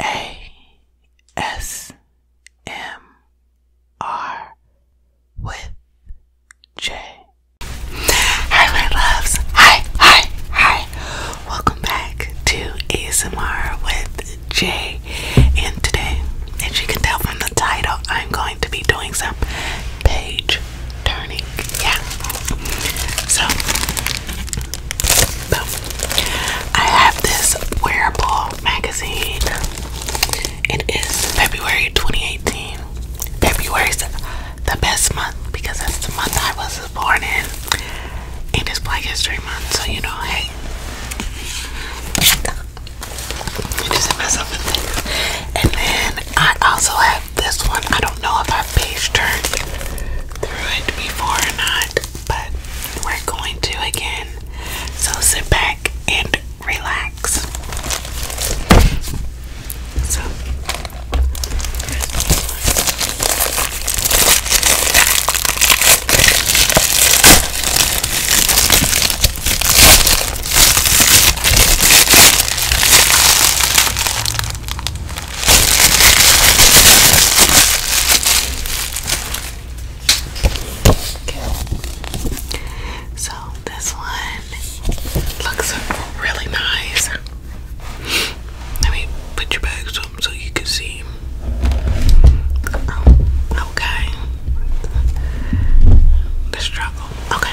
A S M R with J. Hi, my loves. Hi, hi, hi. Welcome back to ASMR with J. And today, as you can tell from the title, I'm going to be doing some page turning. Yeah. So, I have this wearable magazine. It is February 2018. February's the best month because that's the month I was born in. And it's Black History Month, so you know, hey. I just hit myself in there. And then I also have this one. I don't know if I've page turned through it before or not but we're going to again. So sit back and relax. So so this one looks really nice. Let me put your bags up so you can see. Oh, okay. The struggle. Okay.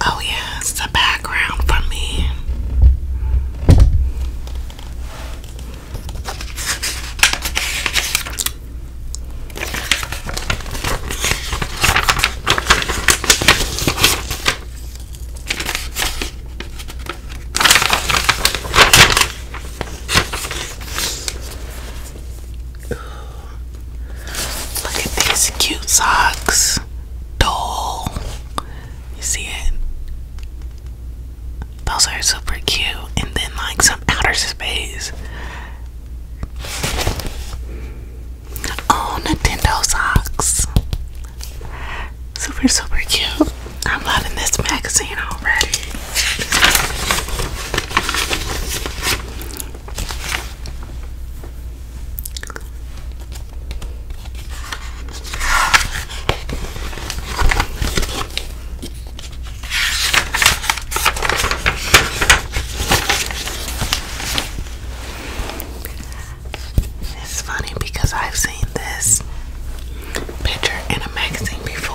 Oh, yeah, the background for me. Look at these cute socks. Doll. You see it? Those are super cute. And then, like, some outer space. Oh, Nintendo socks. Super, super cute. I'm loving this magazine already. It's funny because I've seen this picture in a magazine before.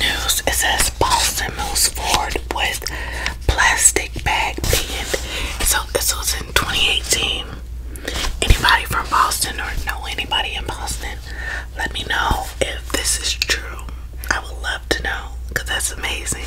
news. It says Boston moves forward with plastic bag ban. So this was in 2018. Anybody from Boston or know anybody in Boston? Let me know if this is true. I would love to know because that's amazing.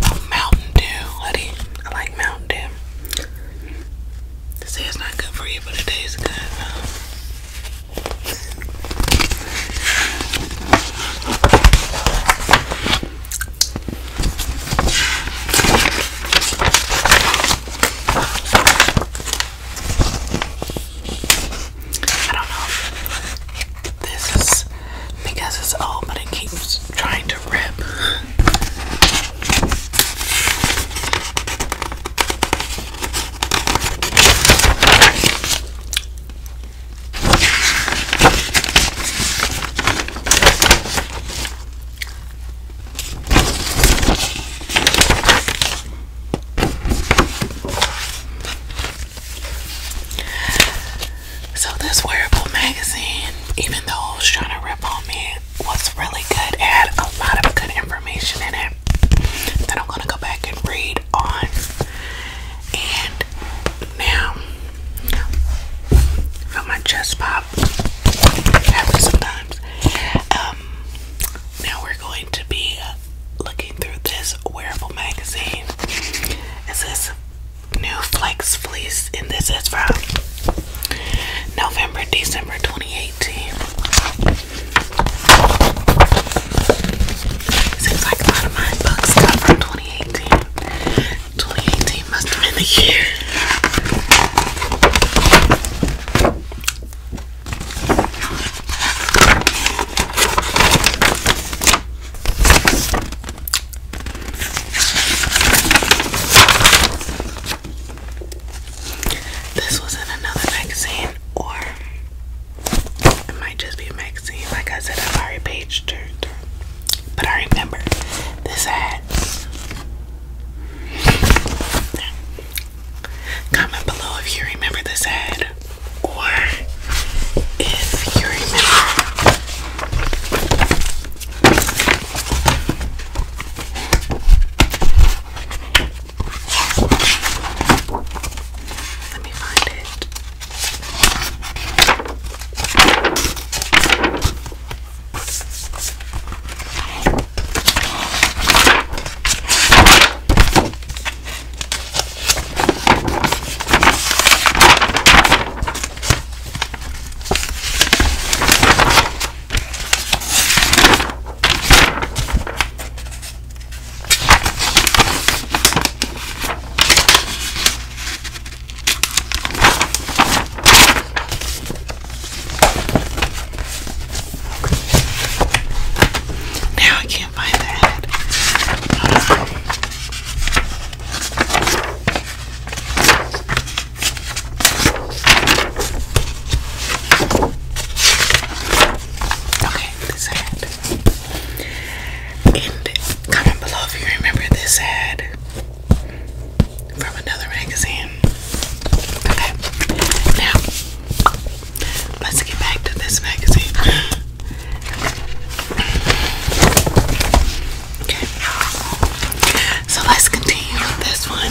Oh, Mountain Dew, honey. I like Mountain Dew. They say it's not good for you, but it tastes good. I don't know this is because it's old, but it keeps trying to rip. So this wearable magazine, even though it was trying to rip on me, was really good. It had a lot of good information in it okay? I'm gonna go back and read on. And now, feel my chest pop. Happens sometimes. Um, now we're going to be looking through this wearable magazine. It says New Flex Fleece, and this is from November, December 2018. Seems like a lot of my books come from 2018. 2018 must have been the year. This was in another magazine, or it might just be magazine. Like I said, I've already page turned But I remember this ad. Comment below if you remember this ad, or if you remember. Let me find it. Now I can't find the head. Hold on. Okay, this ad. And comment below if you remember this ad from another magazine. Okay, now let's get back to this magazine. Okay, so let's continue with this one.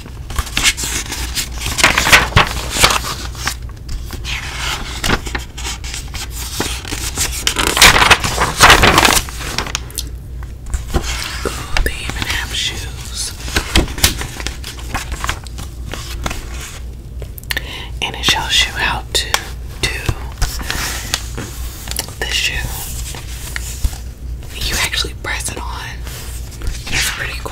Oh, they even have shoes. And it shows you how to do the shoe you actually press it on. It's pretty cool.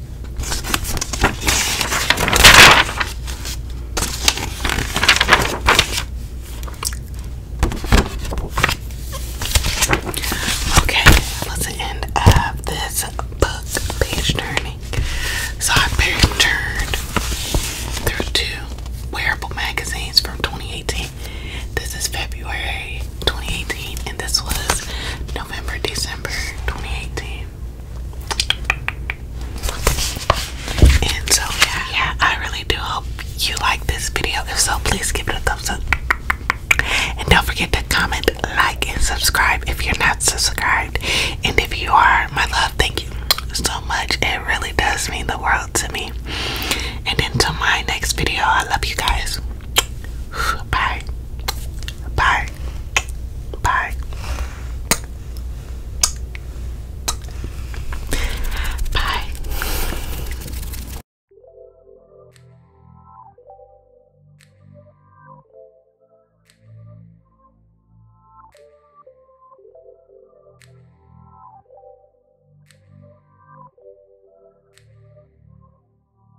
Okay, that's the end of this book page turning. So I page turned through two wearable magazines from 2018. This is February 2018, and this was November, December 2018. And so, yeah, I really do hope you like this video. If so, please give it a thumbs up. And don't forget to comment, like, and subscribe if you're not subscribed. And if you are, my love, thank you so much. It really does mean the world to me. And until my next video, I love you guys. Bye. Bye. Bye. Bye.